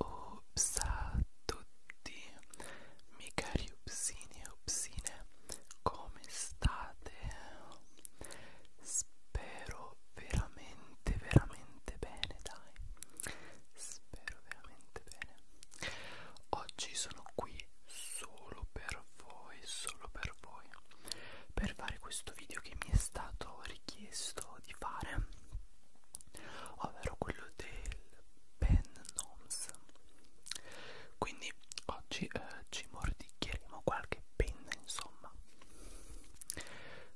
Ups a tutti, miei cari upsini e upsine, come state? Spero veramente, veramente bene, dai. Spero veramente bene. Oggi sono qui solo per voi, solo per voi, per fare questo video che mi è stato richiesto di fare, ovvero quello del pen noms. Quindi oggi eh, ci mordicchieremo qualche penna, insomma.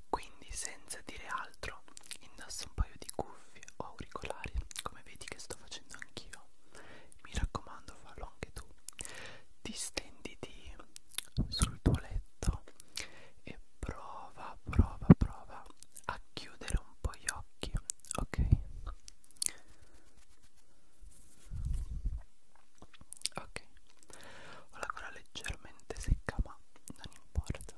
Quindi senza dire altro, indosso un paio di cuffie o auricolari, come vedi che sto facendo anch'io. Mi raccomando, fallo anche tu distenditi sul tuo letto e prova prova prova a chiudere un po' gli occhi ok ok ho la gola leggermente secca ma non importa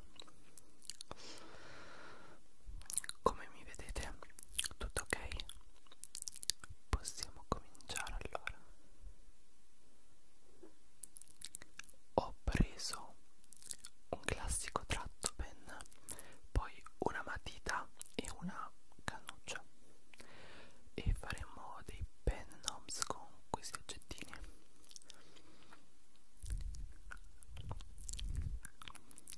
come mi vedete tutto ok Possiamo cominciare allora. Ho preso un classico tratto pen, poi una matita e una cannuccia e faremo dei pen knobs con questi oggettini.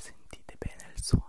Sentite bene il suono.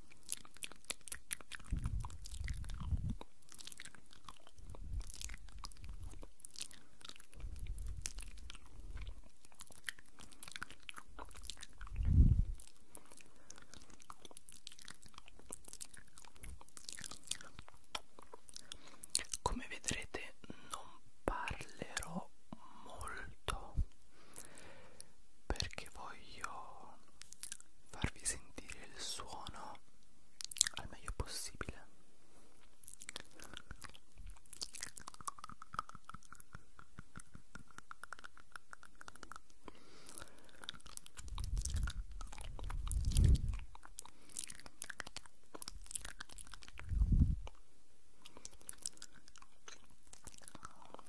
Come vedrete non parlerò molto perché voglio farvi sentire il suono al meglio possibile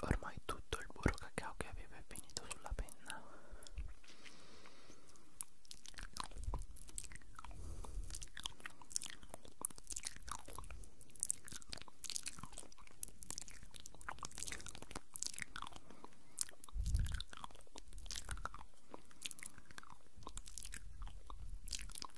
Ormai tutto il burro cacao che avevo è finito sulla penna.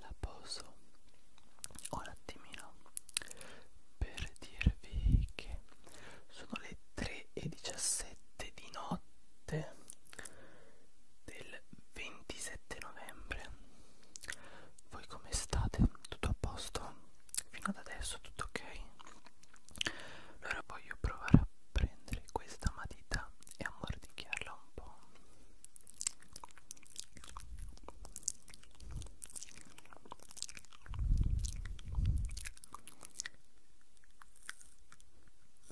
La poso un attimino per dirvi che sono le 3 e 17 di notte del 27 novembre voi come state? tutto a posto? fino ad adesso tutto ok? allora voglio provare a prendere questa matita e a mordicchiarla un po'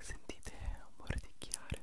Sentite un po' di chiare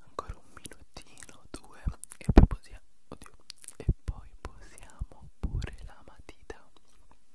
Ancora un minutino, due e poi possiamo, oddio, e poi posiamo pure la matita.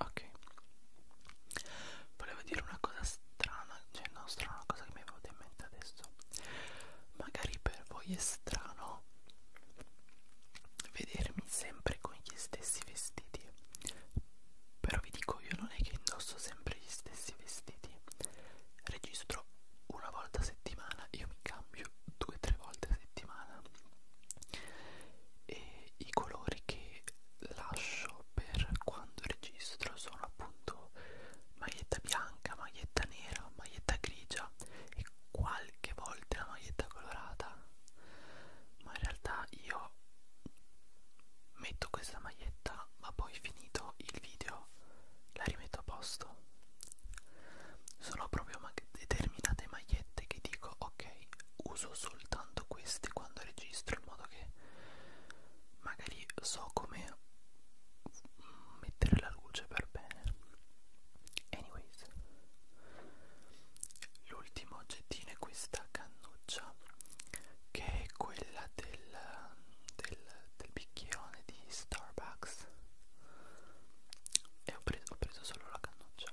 Ok Volevo dire una cosa strana Cioè non strana, una cosa che mi è venuta in mente adesso Magari per voi è strano Vedermi sempre con gli stessi vestiti Però vi dico io non è che indosso sempre sempre gli stessi vestiti registro una volta a settimana io mi cambio due o tre volte a settimana e i colori che lascio per quando registro sono appunto maglietta bianca maglietta nera maglietta grigia e qualche volta una maglietta colorata ma in realtà io metto questa maglietta ma poi finito il video la rimetto a posto sono proprio determinate magliette che dico ok uso soltanto queste quando registro in modo che magari so come mettere la luce per bene anyways l'ultimo oggettino è questa cannuccia che è quella del del, del bicchierone di Starbucks e ho preso, ho preso solo la cannuccia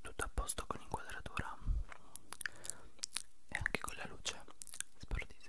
tutto a posto con l'inquadratura e anche con la luce spero di sì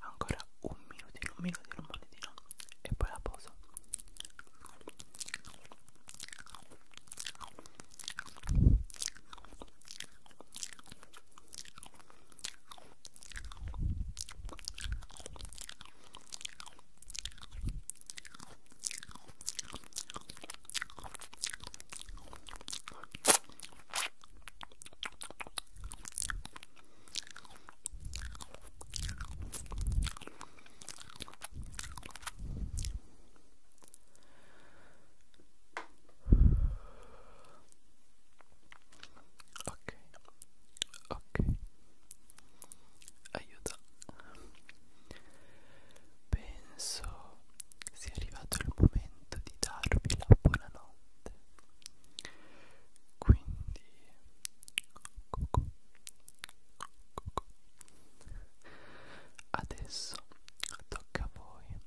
ancora un minutino, un minutino, un minutino e poi la poso Ok, ok, aiuta. Penso sia arrivato il momento di darvi la buonanotte notte quindi cucù, cucù. adesso tocca a voi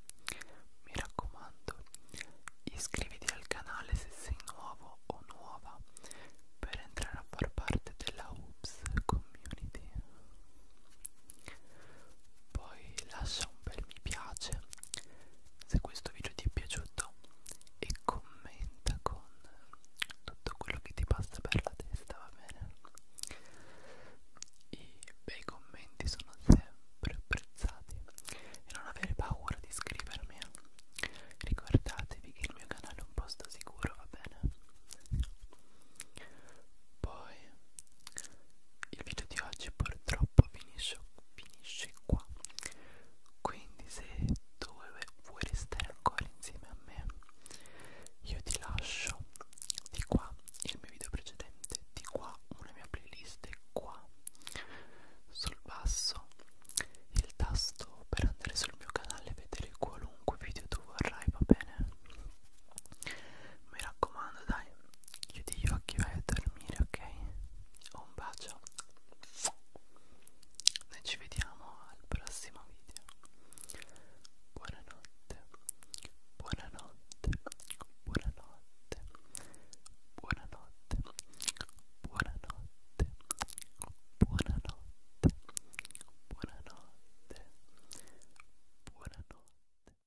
mi raccomando iscriviti al canale se sei nuovo o nuova per entrare a far parte della Oops community poi lascia un bel mi piace se questo video ti è piaciuto e commenta con tutto quello che ti passa per la testa, va bene? I bei commenti sono sempre apprezzati e non avere paura di iscrivermi. Eh. Ricordatevi che il mio canale è un posto sicuro, va bene? Poi il video di oggi purtroppo finisce, finisce qua quindi se tu vuoi restare ancora insieme a me io ti lascio di qua il mio video precedente di qua una mia playlist e qua sul basso il tasto per andare sul mio canale e vedere qualunque video tu vorrai va bene mi raccomando dai chiudi gli occhi e vai a dormire ok un bacio noi ci vediamo al prossimo video buonanotte buonanotte buonanotte buonanotte buonanotte buonanotte buonanotte buonanotte